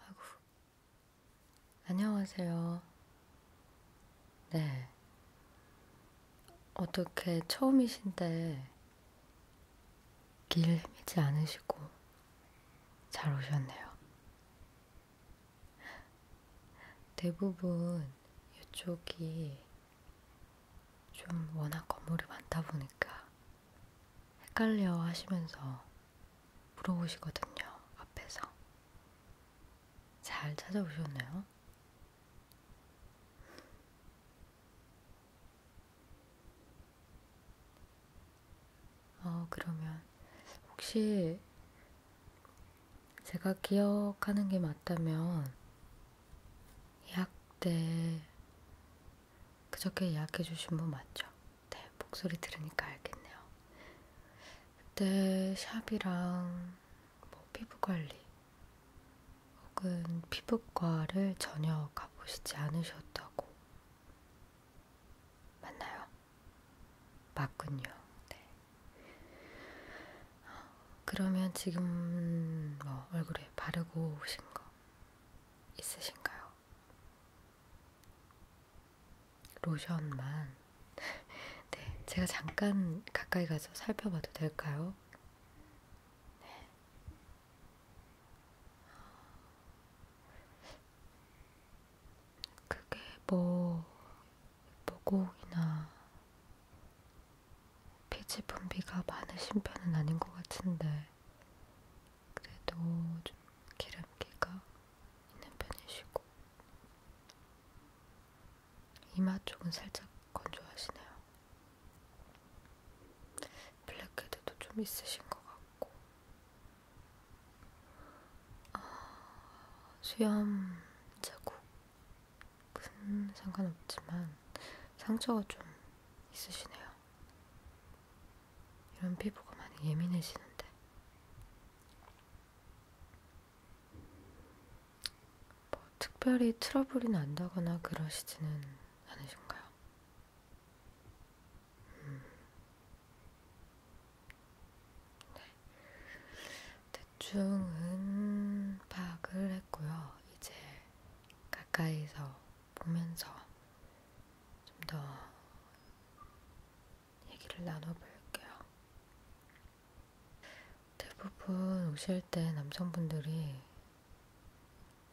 아이고, 안녕하세요. 네. 어떻게 처음이신데 길 헤매지 않으시고 잘 오셨네요. 대부분 이쪽이 좀 워낙 건물이 많다 보니까 헷갈려 하시면서 물어보시거든요, 앞에서. 잘 찾아오셨나요? 어, 그러면 혹시 제가 기억하는 게 맞다면 예학 때 그저께 예약해 주신 분 맞죠? 네, 목소리 들으니까 알겠네요. 그때 샵이랑 뭐 피부 관리 혹은 피부과를 전혀 가보시지 않으셨다고 맞나요? 맞군요. 네. 그러면 지금 뭐 얼굴에 바르고 오신 거 있으신가요? 로션만. 네, 제가 잠깐 가까이 가서 살펴봐도 될까요? 네. 그게 뭐, 모공이나 피지 분비가 많으신 편은 아닌 것 같은데, 그래도 좀 기름기가 있는 편이시고 이마 쪽은 살짝 건조하시네요. 블랙헤드도 좀 있으신 것 같고 아, 수염 자국은 상관없지만 상처가 좀 있으시네요. 이런 피부가 많이 예민해지는데 뭐 특별히 트러블이 난다거나 그러시지는 않으신가요? 음. 네. 대충은 파악을 했고요. 이제 가까이서 보면서 좀 더 얘기를 나눠볼게요. 대부분 오실 때 남성분들이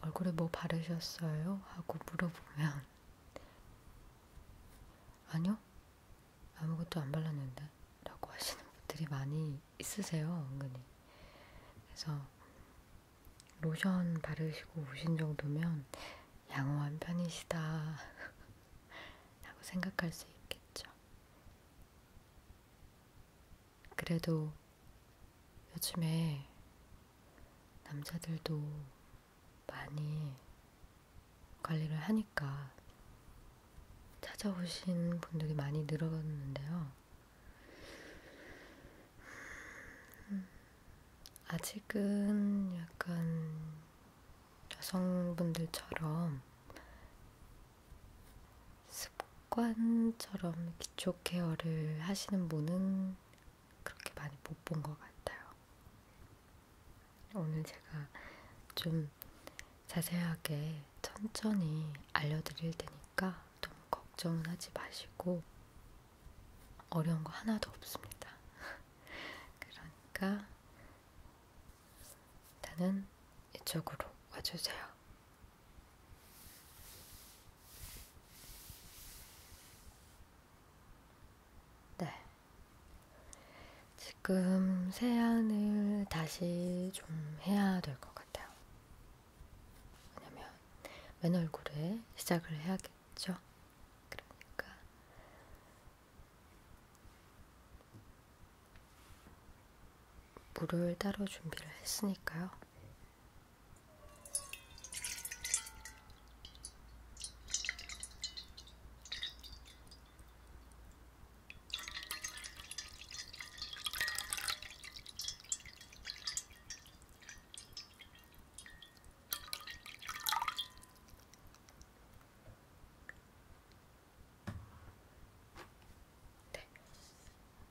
얼굴에 뭐 바르셨어요? 하고 물어보면 아니요? 아무것도 안 발랐는데? 라고 하시는 분들이 많이 있으세요, 은근히. 그래서 로션 바르시고 오신 정도면 양호한 편이시다 라고 생각할 수 있겠죠. 그래도 요즘에 남자들도 많이 관리를 하니까 찾아오신 분들이 많이 늘어났는데요. 아직은 약간 여성분들처럼 습관처럼 기초 케어를 하시는 분은 그렇게 많이 못 본 것 같아요. 오늘 제가 좀 자세하게 천천히 알려드릴 테니까 너무 걱정은 하지 마시고 어려운 거 하나도 없습니다. 그러니까 일단은 이쪽으로 와주세요. 네. 지금 세안을 다시 좀 해야 될 것 같아요. 왜냐면 맨 얼굴에 시작을 해야겠 있겠죠. 그러니까 물을 따로 준비를 했으니까요. 네.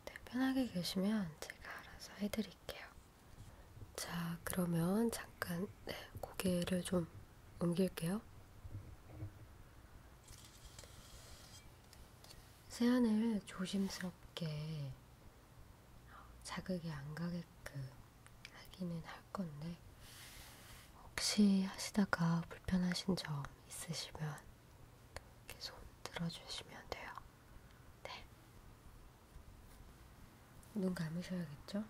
네, 편하게 계시면 제가 알아서 해드릴게요. 자, 그러면 잠깐 네, 고개를 좀 옮길게요. 세안을 조심스럽게 자극이 안 가게끔 하기는 할 건데, 혹시 하시다가 불편하신 점 있으시면 계속 들어주시면 돼요. 네. 눈 감으셔야겠죠?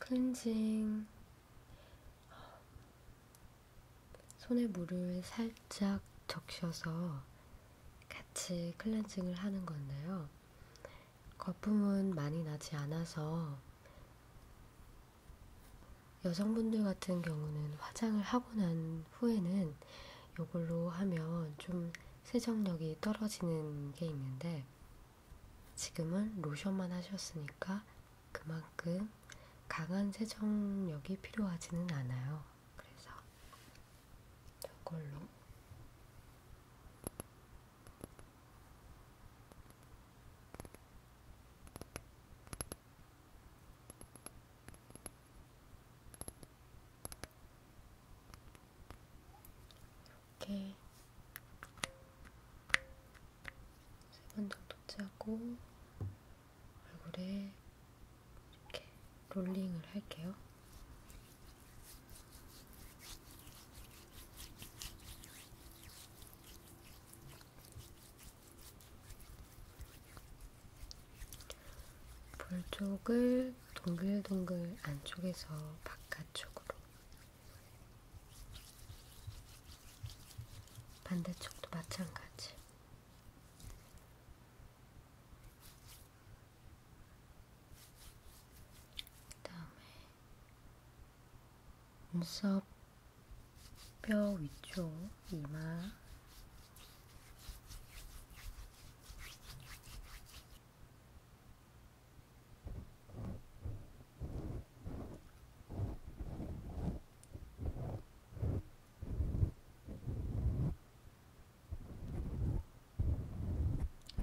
클렌징 손에 물을 살짝 적셔서 같이 클렌징을 하는 건데요. 거품은 많이 나지 않아서 여성분들 같은 경우는 화장을 하고 난 후에는 이걸로 하면 좀 세정력이 떨어지는 게 있는데 지금은 로션만 하셨으니까 그만큼 강한 세정력이 필요하지는 않아요. 그래서 저걸로 이렇게 세 번 정도 짜고 얼굴에 이렇게 롤링을 할게요. 볼 쪽을 동글동글 안쪽에서 바깥쪽으로 반대쪽도 마찬가지. 그다음에 눈썹 뼈 위쪽 이마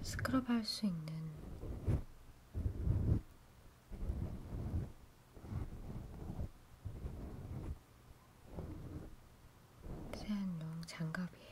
스크럽 할 수 있는 세안용 장갑이에요.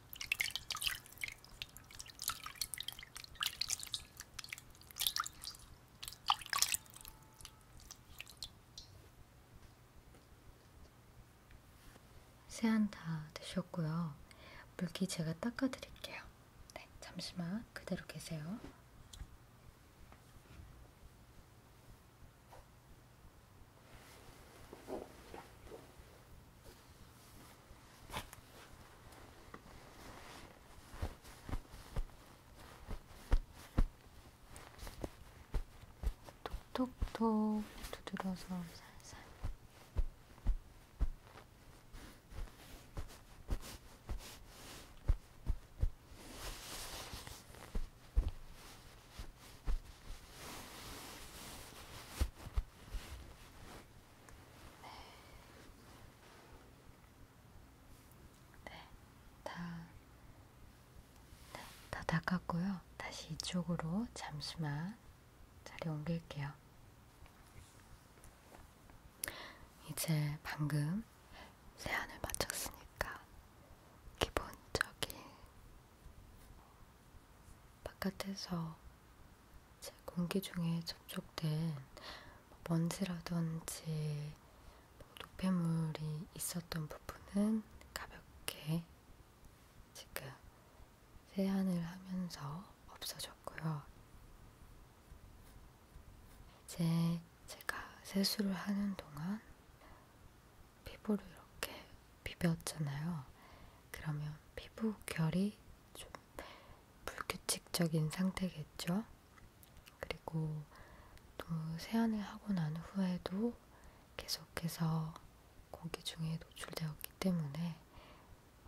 세안 다 되셨고요. 물기 제가 닦아드릴게요. 네, 잠시만 그대로 계세요. 톡톡톡 두드려서 살살 네. 네, 다, 네, 다 닦았고요. 다시 이쪽으로 잠시만 자리 옮길게요. 이제 방금 세안을 마쳤으니까 기본적인 바깥에서 공기 중에 접촉된 먼지라든지 뭐 노폐물이 있었던 부분은 가볍게 지금 세안을 하면서 없어졌고요. 이제 제가 세수를 하는 동안 피부를 이렇게 비볐잖아요. 그러면 피부 결이 좀 불규칙적인 상태겠죠. 그리고 또 세안을 하고 난 후에도 계속해서 공기 중에 노출되었기 때문에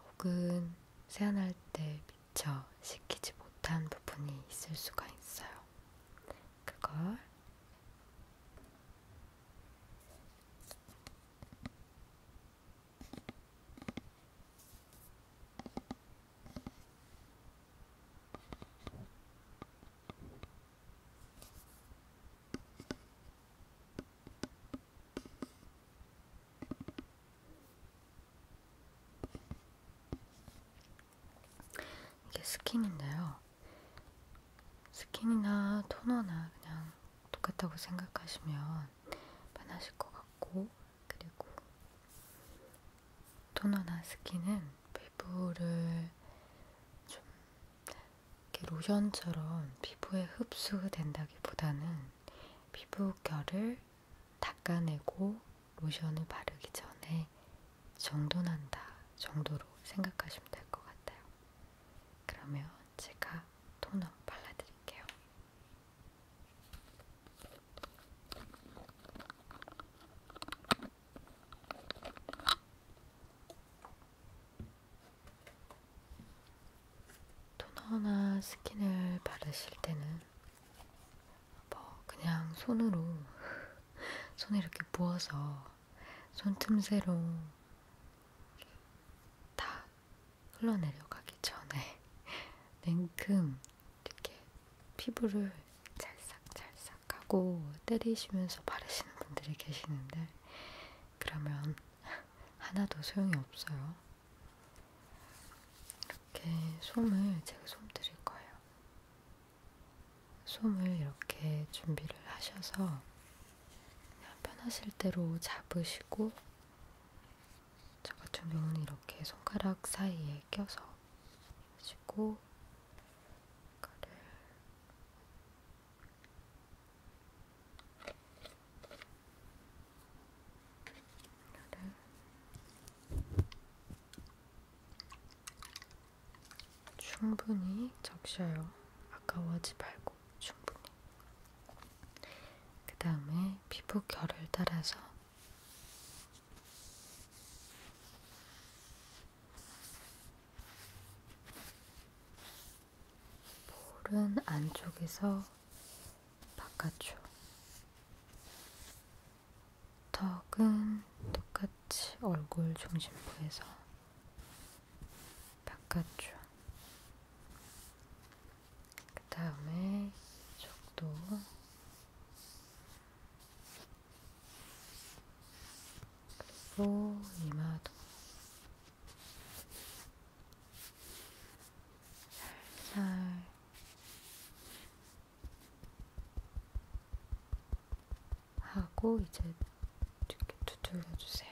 혹은 세안할 때 미처 식히지 못한 부분이 있을 수가 있어요. 그걸 이게 스킨인데요. 스킨이나 토너나 그냥 똑같다고 생각하시면 편하실 것 같고, 그리고 토너나 스킨은 피부를 좀 이렇게 로션처럼 피부에 흡수된다기보다는 피부결을 닦아내고 로션을 바르기 전에 정돈한다 정도로 생각하시면 될 것 같아요. 그러면 제가 토너 발라드릴게요. 토너나 스킨을 바르실 때는 뭐 그냥 손으로 손에 이렇게 부어서 손틈새로 다 흘러내려가기 전에 냉큼 이렇게 피부를 찰싹찰싹 하고 때리시면서 바르시는 분들이 계시는데 그러면 하나도 소용이 없어요. 이렇게 솜을 제가 솜 드릴 거예요. 솜을 이렇게 준비를 하셔서 편하실 대로 잡으시고 저 같은 경우는 이렇게 손가락 사이에 껴서 가지고 이거를 이거를 충분히 적셔요. 아까워지 말고. 있고 충분히. 그 다음에 피부 결을 따라서 볼은 안쪽에서 바깥쪽, 턱은 똑같이 얼굴 중심부에서 바깥쪽. 그 다음에 이쪽도 그리고 이마도 살살 하고 이제 이렇게 두들겨 주세요.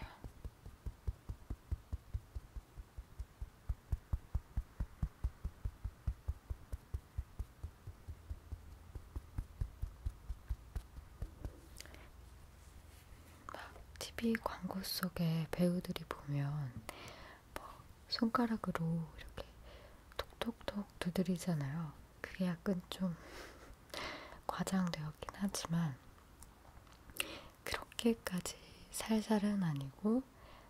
막 TV 광고 속에 배우들이 보면 뭐 손가락으로 이렇게 톡톡톡 두드리잖아요. 그게 약간 좀 과장되었긴 하지만 그렇게까지 살살은 아니고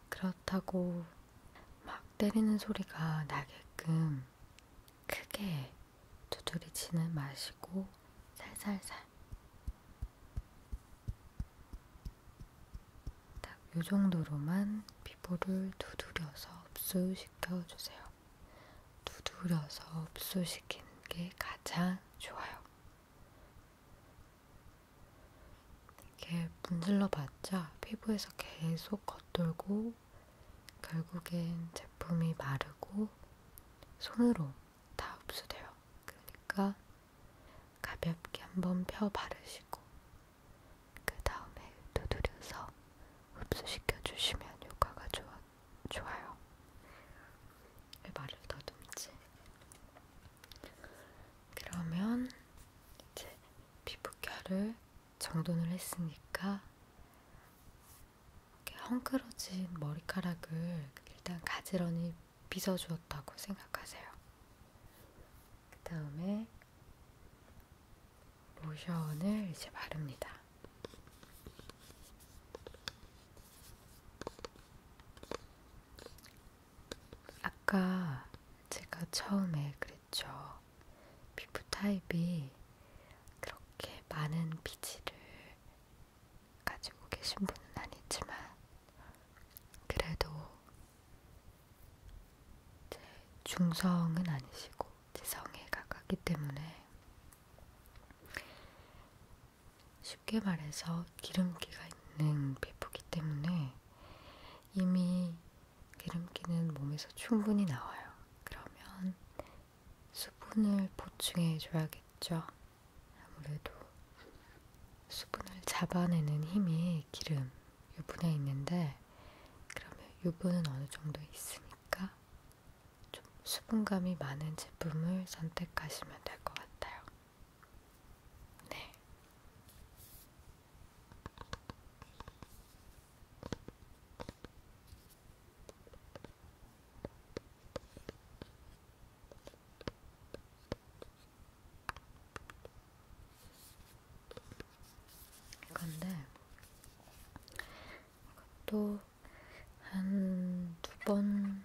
그렇다고 막 때리는 소리가 나게끔 크게 두드리지는 마시고 살살살 딱 요정도로만 피부를 두드려서 흡수시켜주세요. 두드려서 흡수시키는 게 가장 좋아요. 이렇게 문질러봤자 피부에서 계속 겉돌고 결국엔 제품이 마르고 손으로 다 흡수돼요. 그러니까 가볍게 한번 펴 바르시고 그 다음에 두드려서 흡수시켜 주시면 효과가 좋아, 좋아요. 왜 말을 더듬지? 그러면 이제 피부결을 정돈을 했으니까 이렇게 헝클어진 머리카락을 일단 가지런히 빗어주었다고 생각하세요. 그 다음에 로션을 이제 바릅니다. 아까 제가 처음에 그랬죠. 피부 타입이 그렇게 많은 피지를 가지고 계신 분은 아니지만, 그래도 제 중성은 아니시고 지성에 가깝기 때문에 쉽게 말해서 기름기가 있는 피부기 때문에 이미 기름기는 몸에서 충분히 나와요. 그러면 수분을 보충해 줘야겠죠. 아무래도 수분을 잡아내는 힘이 기름, 유분에 있는데 그러면 유분은 어느 정도 있으니까 좀 수분감이 많은 제품을 선택하시면 될 것 같아요. 네. 이건데 이것도 한두번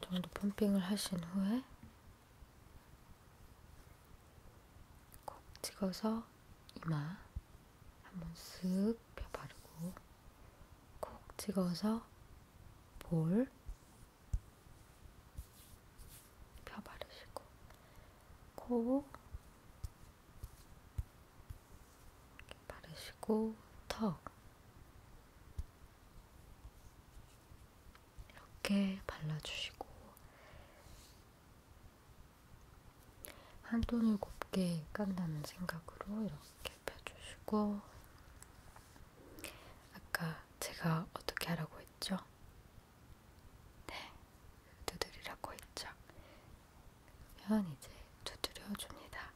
정도 펌핑을 하신 후에 콕 찍어서 이마 한번 쓱 펴바르고 콕 찍어서 볼 펴바르시고 코 바르시고 턱 이렇게 발라주시고 한 톤을 곱게 깐다는 생각으로 이렇게 펴주시고 아까 제가 어떻게 하라고 했죠? 네, 두드리라고 했죠? 그러면 이제 두드려줍니다.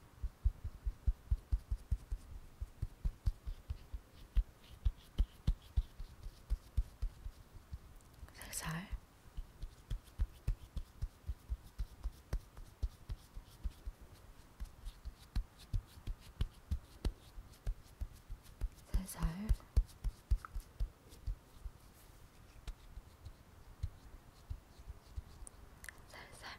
살살 살살 살살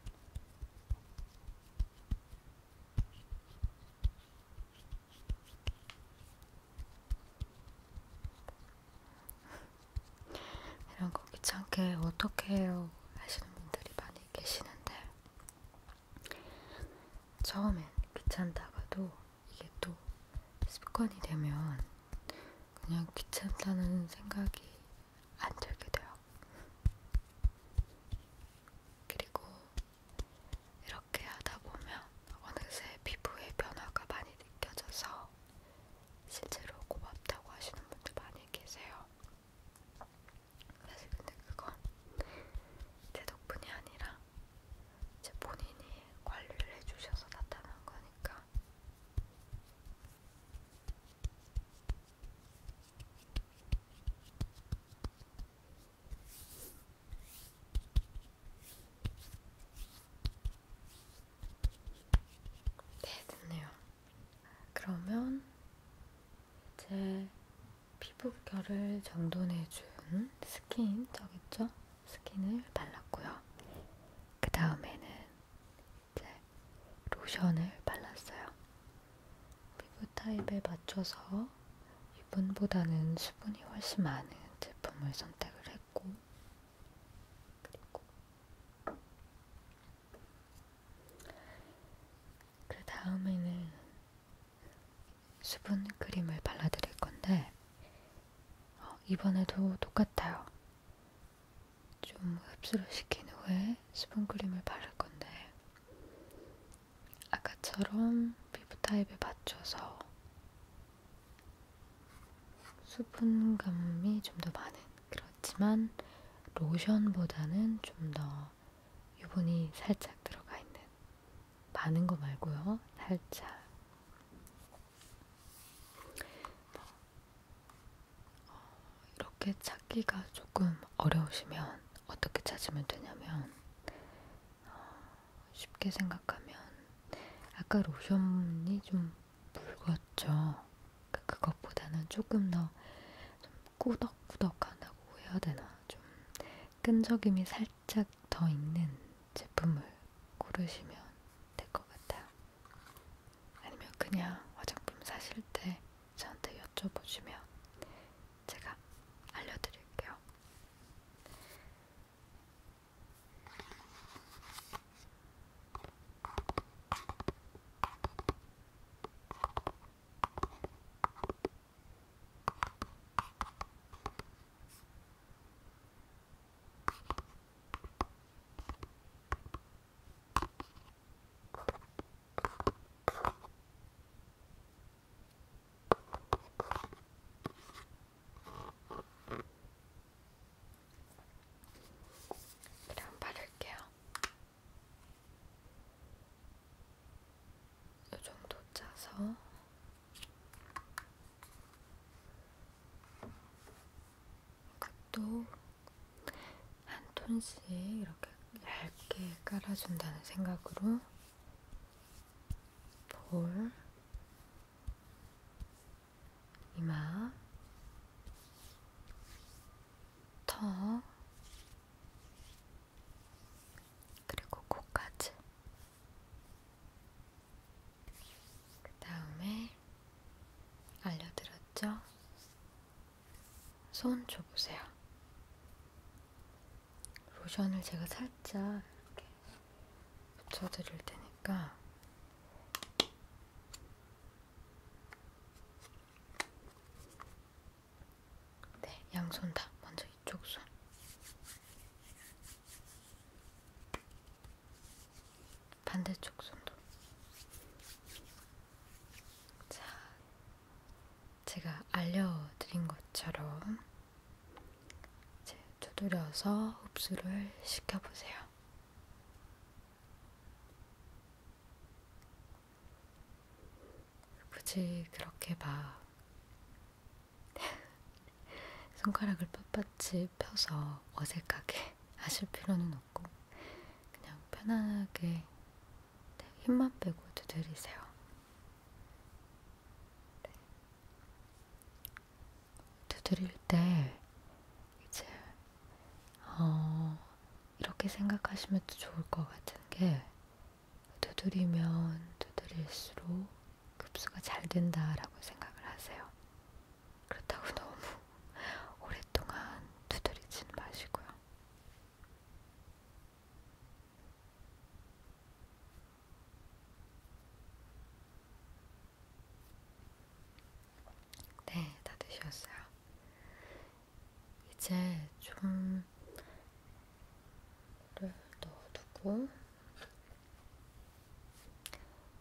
이런 거 귀찮게 어떻게 해요 하시는 분들이 많이 계시는데 처음엔 귀찮다가도 이게 또 습관이 되면 그냥 귀찮다는 생각이 안 들게 돼요. 그리고 이렇게 하다 보면 어느새 피부에 변화가 많이 느껴져서 실제로 고맙다고 하시는 분들 많이 계세요. 사실 근데 그건 제 덕분이 아니라 제 본인이 관리를 해주셔서 나타난 거니까. 네, 됐네요. 그러면 이제 피부결을 정돈해준 스킨 저겠죠? 스킨을 발랐고요. 그 다음에는 이제 로션을 발랐어요. 피부 타입에 맞춰서 유분보다는 수분이 훨씬 많은 제품을 선택을 했고, 그리고 그 다음에는 수분 크림을 발라드릴 건데, 어, 이번에도 똑같아요. 좀 흡수를 시킨 후에 수분 크림을 바를 건데, 아까처럼 피부 타입에 맞춰서 수분감이 좀 더 많은 그렇지만 로션보다는 좀 더 유분이 살짝 들어가 있는 많은 거 말고요. 살짝 뭐, 어, 이렇게 찾기가 조금 어려우시면 어떻게 찾으면 되냐면 어, 쉽게 생각하면 아까 로션이 좀 묽었죠. 그러니까 그것보다는 조금 더좀 꾸덕꾸덕하다고 해야 되나 좀 끈적임이 살짝 더 있는 제품을 고르시면 될 것 같아요. 아니면 그냥 화장품 사실 때 저한테 여쭤보시면 제가 알려드릴게요. 그럼 바를게요. 이 정도 짜서 이것도 한 톤씩 이렇게 얇게 깔아준다는 생각으로 볼, 이마, 턱, 그리고 코까지. 그 다음에 알려드렸죠? 손 줘보세요. 로션을 제가 살짝 이렇게 붙여드릴 테니까 네, 양손 다 먼저 이쪽 손. 반대쪽 손도. 자, 제가 알려드린 것처럼 이제 두드려서 흡수를 시켜보세요. 굳이 그렇게 막 손가락을 빳빳이 펴서 어색하게 하실 필요는 없고 그냥 편안하게 네, 힘만 빼고 두드리세요. 두드릴 때 이제 어, 이렇게 생각하시면 또 좋을 것 같은 게 두드리면 두드릴수록 흡수가 잘 된다라고 생각을 하세요. 그렇다고 너무 오랫동안 두드리진 마시고요. 네, 다 드셨어요. 이제 좀을 넣어두고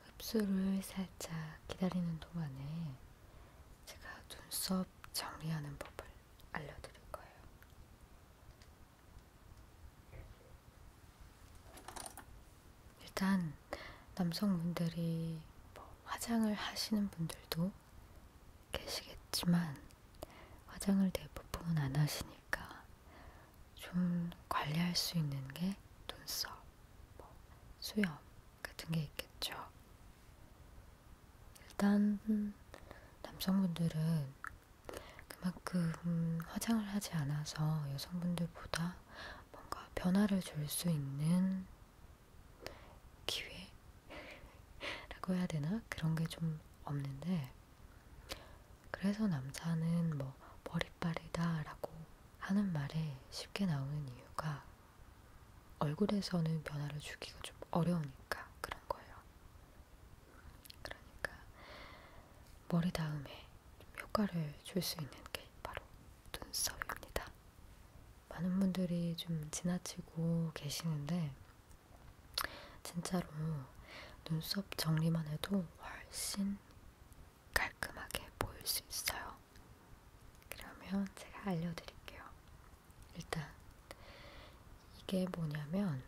흡수를 살짝 기다리는 동안에 제가 눈썹 정리하는 법을 알려드릴 거예요. 일단 남성분들이 뭐 화장을 하시는 분들도 계시겠지만 화장을 대부분 안 하시니까 좀 관리할 수 있는 게 눈썹, 뭐 수염 같은 게 있겠죠. 일단 남성분들은 그만큼 화장을 하지 않아서 여성분들보다 뭔가 변화를 줄 수 있는 기회라고 해야 되나? 그런 게 좀 없는데 그래서 남자는 뭐 머리빨이다라고 하는 말에 쉽게 나오는 이유가 얼굴에서는 변화를 주기가 좀 어려우니까 그런 거예요. 그러니까 머리 다음에 효과를 줄 수 있는 게 바로 눈썹입니다. 많은 분들이 좀 지나치고 계시는데 진짜로 눈썹 정리만 해도 훨씬 깔끔하게 보일 수 있어요. 그러면 제가 알려드릴게요. 일단 이게 뭐냐면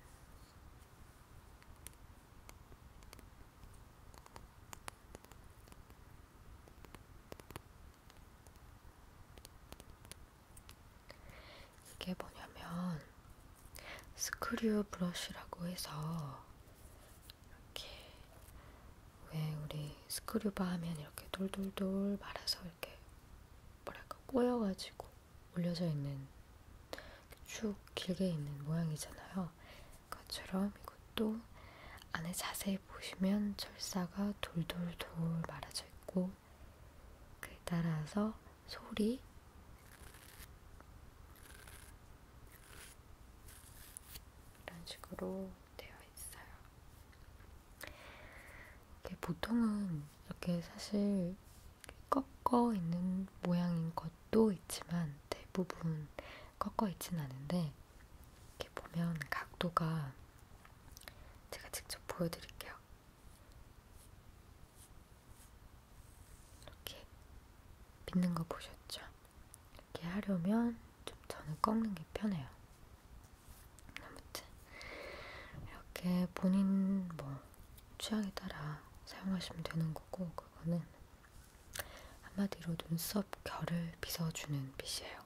이게 뭐냐면 스크류 브러쉬라고 해서 이렇게 왜 우리 스크류바 하면 이렇게 돌돌돌 말아서 이렇게 뭐랄까 꼬여가지고 올려져 있는 쭉 길게 있는 모양이잖아요. 그것처럼 이것도 안에 자세히 보시면 철사가 돌돌돌 말아져 있고 그에 따라서 소리 이런 식으로 되어 있어요. 보통은 이렇게 사실 꺾어 있는 모양인 것도 있지만 대부분 꺾어 있진 않은데 이렇게 보면 각도가 제가 직접 보여드릴게요. 이렇게 빗는 거 보셨죠? 이렇게 하려면 좀 저는 꺾는 게 편해요. 아무튼 이렇게 본인 뭐 취향에 따라 사용하시면 되는 거고 그거는 한마디로 눈썹 결을 빗어주는 빗이에요.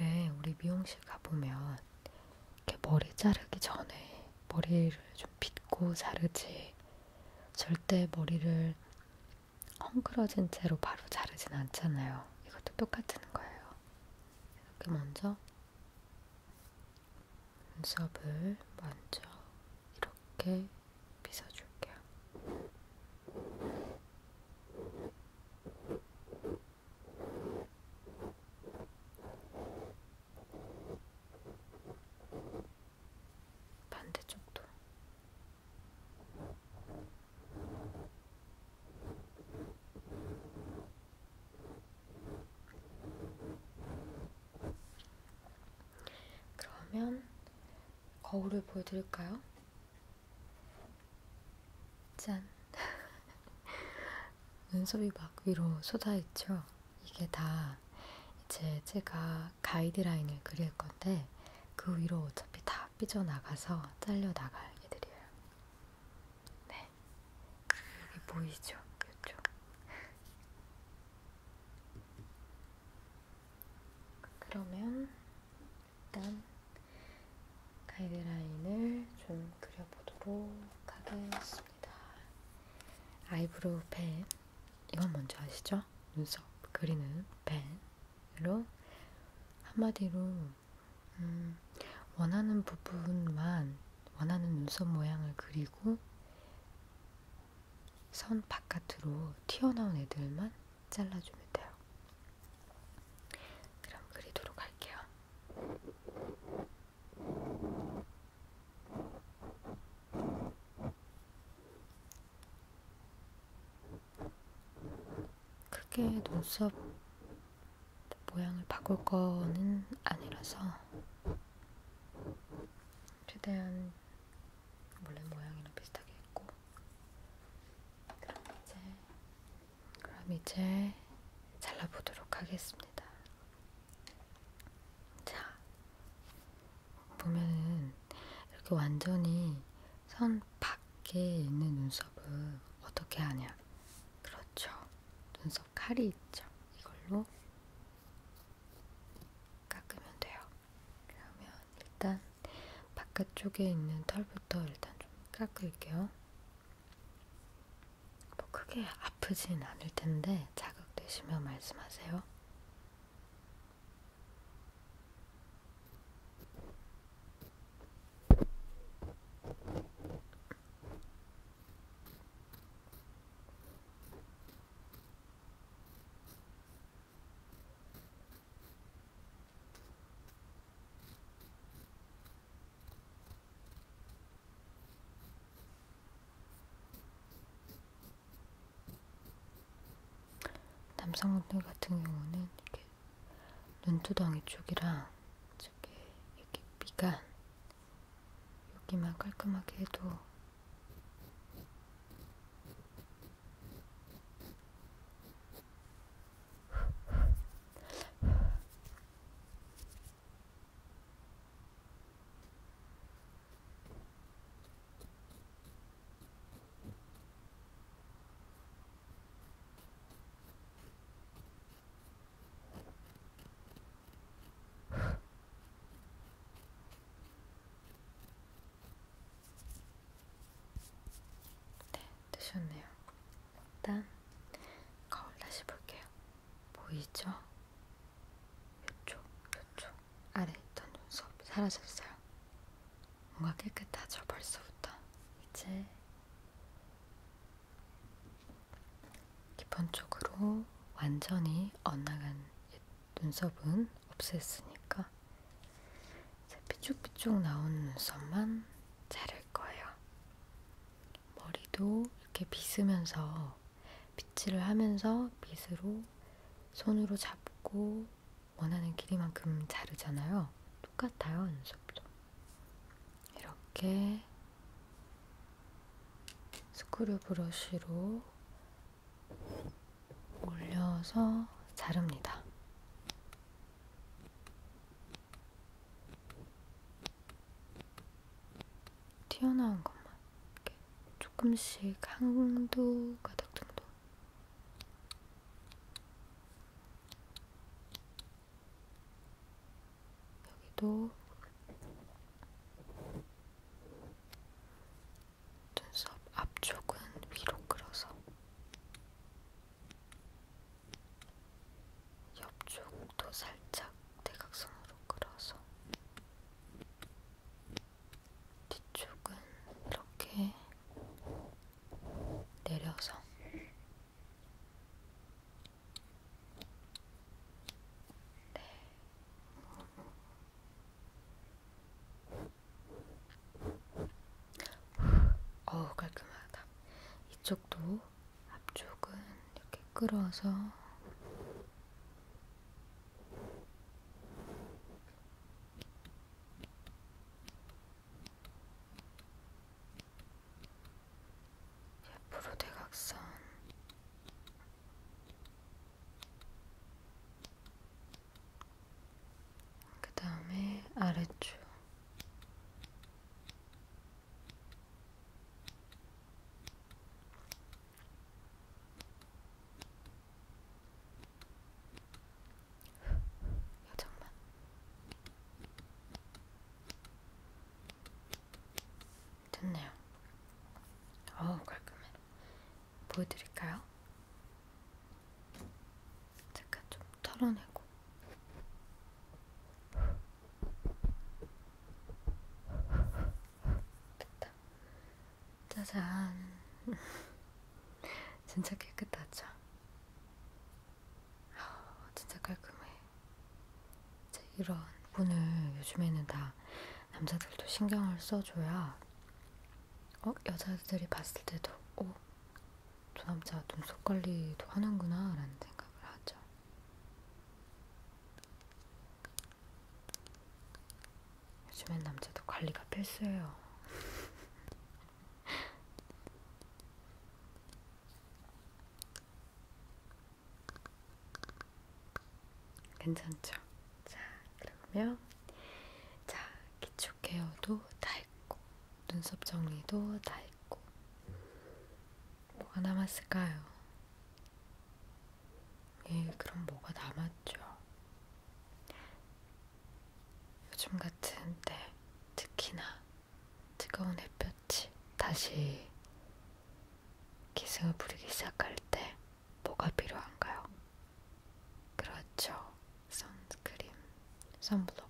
왜 우리 미용실 가보면 이렇게 머리 자르기 전에 머리를 좀 빗고 자르지 절대 머리를 헝클어진 채로 바로 자르진 않잖아요. 이것도 똑같은 거예요. 이렇게 먼저 눈썹을 먼저 이렇게 빗어줄게요. 반대쪽도 그러면 거울을 보여드릴까요? 짠! 눈썹이 막 위로 쏟아있죠? 이게 다 이제 제가 가이드라인을 그릴 건데 그 위로 어차피 다 삐져나가서 잘려나갈 애들이에요. 네, 여기 보이죠? 이쪽. 그러면 일단 가이드라인을 좀 그려보도록 하겠습니다. 아이브로우 펜, 이건 뭔지 아시죠? 눈썹 그리는 펜으로 한마디로 음, 음, 원하는 부분만 원하는 눈썹 모양을 그리고 선 바깥으로 튀어나온 애들만 잘라주면 돼요. 그럼 그리도록 할게요. 크게 눈썹 모양을 바꿀 거는 아니라서 최대한 원래 모양이랑 비슷하게 했고 그럼 이제 그럼 이제 잘라보도록 하겠습니다. 자 보면은 이렇게 완전히 선 밖에 있는 눈썹을 어떻게 하냐? 그렇죠. 눈썹 칼이 있죠. 이걸로 깎으면 돼요. 그러면 일단 바깥쪽에 있는 털부터 일단 좀 깎을게요. 뭐 크게 아프진 않을 텐데 자극되시면 말씀하세요. 남성분들 같은 경우는 이렇게 눈두덩이 쪽이랑 저기 이렇게 미간 여기만 깔끔하게 해도 네, 되셨네요. 일단 거울 다시 볼게요. 보이죠? 요쪽, 요쪽 아래 있던 눈썹 사라졌어요. 뭔가 깨끗하죠, 벌써부터. 이제 기본적으로 완전히 엇나간 눈썹은 없앴으니까 이제 삐쭉삐쭉 나온 눈썹만 자를 거예요. 머리도 이렇게 빗으면서 빗질을 하면서 빗으로 손으로 잡고 원하는 길이만큼 자르잖아요. 똑같아요, 눈썹도. 이렇게 스크류 브러쉬로 올려서 자릅니다. 튀어나온 것만 이렇게 조금씩 한두 가닥 정도 여기도 눈썹 앞쪽은 위로 끌어서 옆쪽도 살짝 대각선으로 끌어서 뒤쪽은 이렇게 내려서 네. 어우 깔끔하다. 이쪽도 앞쪽은 이렇게 끌어서 옆으로 대각선 그 다음에 아래쪽 여정만 됐네요. 어우, 깔끔해. 보여드릴까요? 잠깐 좀 털어내고. 됐다. 짜잔. 진짜 깨끗하죠? 진짜 깔끔해. 이런 분을 요즘에는 다 남자들도 신경을 써줘야 어? 여자들이 봤을 때도 어? 저 남자 눈썹 관리도 하는구나 라는 생각을 하죠. 요즘엔 남자도 관리가 필수예요. 괜찮죠? 자, 그러면 자, 기초 케어도 다 했고 눈썹 정리도 다 했고 뭐가 남았을까요? 예, 그럼 뭐가 남았죠? 요즘 같은 때 네, 특히나 뜨거운 햇볕 같이 다시 기승을 부리기 시작할 때 뭐가 필요한가요? 그렇죠. 선크림, 선블록,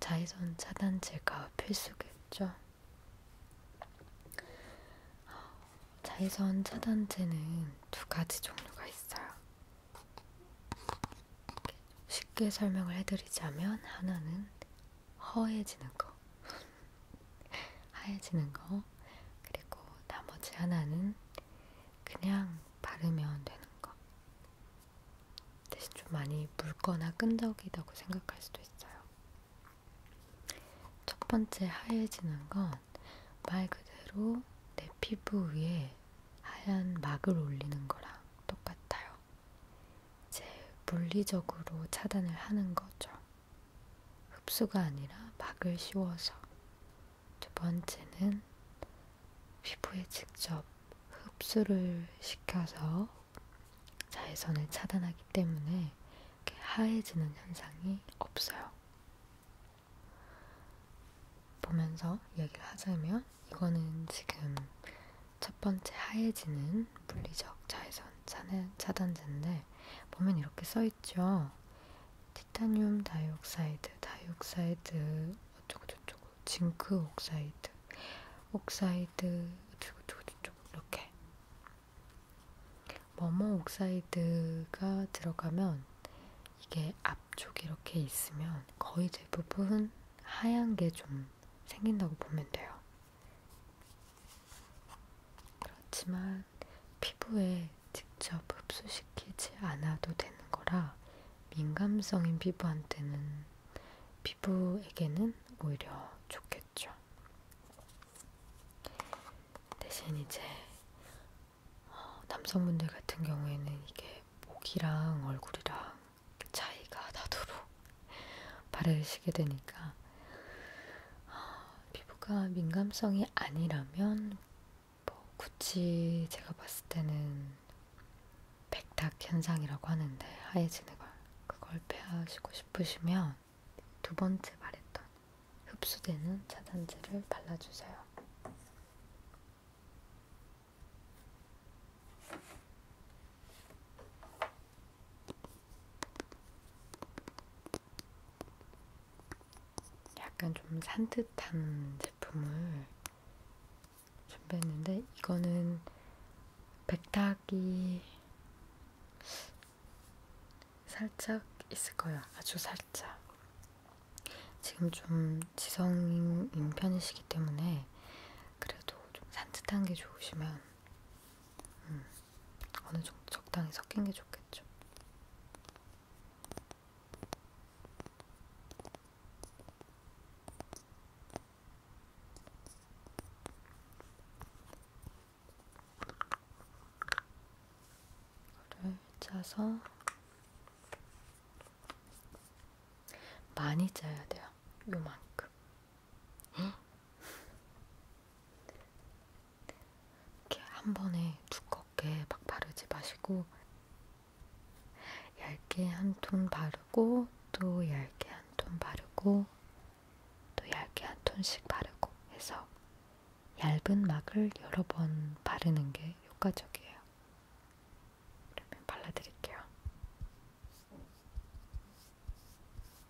자외선 차단제가 필수겠죠. 자외선 차단제는 두 가지 종류가 있어요. 쉽게 설명을 해드리자면 하나는 허해지는 거, 하얘지는 거, 그리고 나머지 하나는 그냥 바르면 되는 거. 대신 좀 많이 묽거나 끈적이다고 생각할 수도 있어요. 첫 번째 하얘지는 건 말 그대로 내 피부 위에 하얀 막을 올리는 거랑 똑같아요. 이제 물리적으로 차단을 하는 거죠. 흡수가 아니라 막을 씌워서 두 번째는 피부에 직접 흡수를 시켜서 자외선을 차단하기 때문에 하얘지는 현상이 없어요. 보면서 얘기를 하자면 이거는 지금 첫 번째 하얘지는 물리적 자외선 차단제인데 보면 이렇게 써있죠. 티타늄 다이옥사이드, 다이옥사이드, 어쩌고저쩌고, 징크 옥사이드, 옥사이드, 어쩌고저쩌고, 이렇게. 뭐뭐 옥사이드가 들어가면 이게 앞쪽이 이렇게 있으면 거의 대부분 하얀 게 좀 생긴다고 보면 돼요. 그렇지만 피부에 직접 흡수시키지 않아도 되는 거라 민감성인 피부한테는 피부에게는 오히려 좋겠죠. 대신 이제 어, 남성분들 같은 경우에는 이게 목이랑 얼굴이랑 차이가 나도록 바르시게 되니까 피부가 민감성이 아니라면 뭐 굳이 제가 봤을 때는 백탁 현상이라고 하는데 하얘지는 걸 그걸 피하시고 싶으시면 두 번째 말했던 흡수되는 차단제를 발라주세요. 약간 좀 산뜻한 제품을 준비했는데 이거는 백탁이 살짝 있을 거예요. 아주 살짝. 지금 좀 지성인 편이시기 때문에 그래도 좀 산뜻한 게 좋으시면 음, 어느 정도 적당히 섞인 게 좋겠죠. 를 짜서 많이 짜야 돼요. 요만큼. 이렇게 한 번에 두껍게 막 바르지 마시고 얇게 한 톤 바르고 또 얇게 한 톤 바르고 또 얇게 한 톤씩 바르고 해서 얇은 막을 여러 번 바르는 게 효과적이에요. 그러면 발라드릴게요.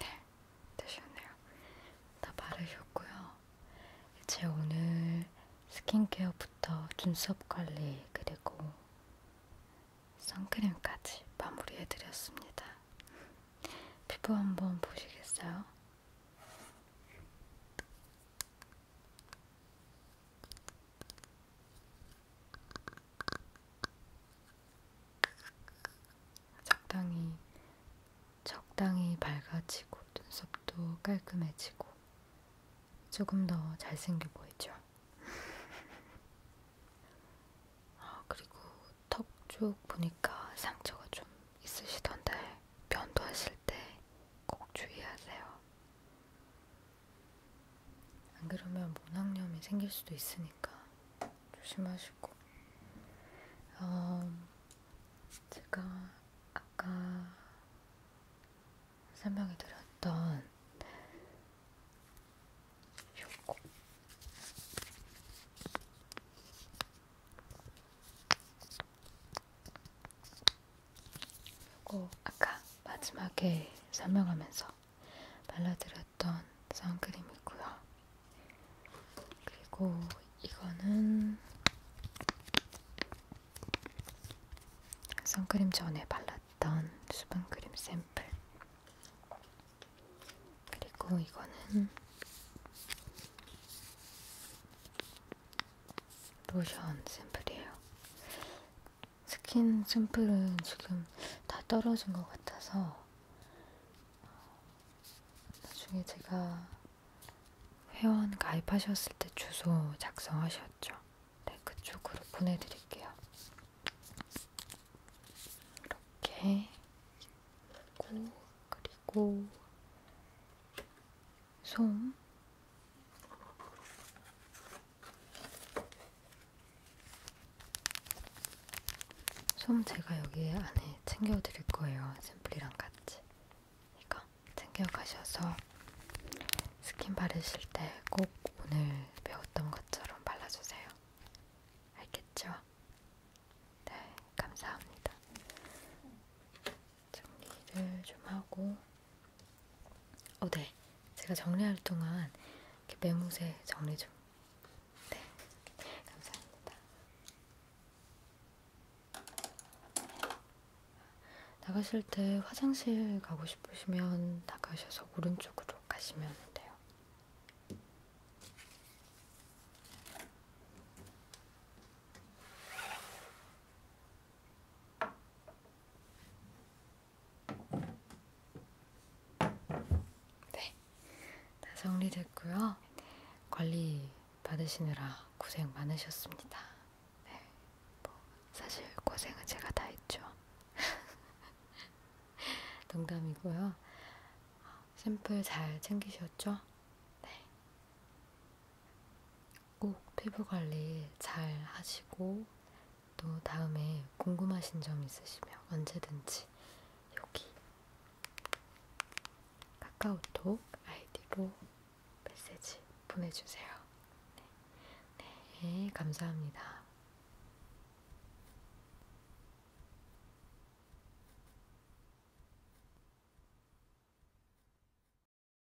네, 되셨네요. 다 바르셨고요. 이제 오늘 스킨케어부터 눈썹 관리 그리고 선크림까지 마무리해드렸습니다. 피부 한번 보시겠어요? 적당히 적당히 밝아지고 눈썹도 깔끔해지고 조금 더 잘생겨 보이죠. 아 그리고 턱 쪽 보니까 상처가 좀 있으시던데 면도하실 때 꼭 주의하세요. 안 그러면 모낭염이 생길 수도 있으니까 조심하시고 어, 제가 아까 설명해 드렸던 요거 그리고 아까 마지막에 설명하면서 발라드렸던 선크림이고요. 그리고 이거는 선크림 전에 발랐던 수분크림 샘플. 그리고 이거는 로션 샘플이에요. 스킨 샘플은 지금 다 떨어진 것 같아서 나중에 제가 회원 가입하셨을 때 주소 작성하셨죠? 네, 그쪽으로 보내드릴게요. 이렇게 있고 그리고 솜솜 제가 여기 안에 챙겨 드릴 거예요. 샘플이랑 같이. 이거 챙겨 가셔서 스킨 바르실 때 꼭 오늘 배웠던 것처럼 발라주세요. 알겠죠? 네, 감사합니다. 정리를 좀 하고 어, 네. 제가 정리할 동안 이렇게 메모세 정리 좀. 네. 감사합니다. 나가실 때 화장실 가고 싶으시면 나가셔서 오른쪽으로 가시면 돼요. 네, 다 정리됐고요. 관리 받으시느라 고생 많으셨습니다. 네, 뭐 사실 고생은 제가 다 했죠. 농담이고요. 아, 샘플 잘 챙기셨죠? 네. 꼭 피부 관리 잘 하시고 또 다음에 궁금하신 점 있으시면 언제든지 여기 카카오톡 아이디로 메시지 보내주세요. 네, 네 감사합니다.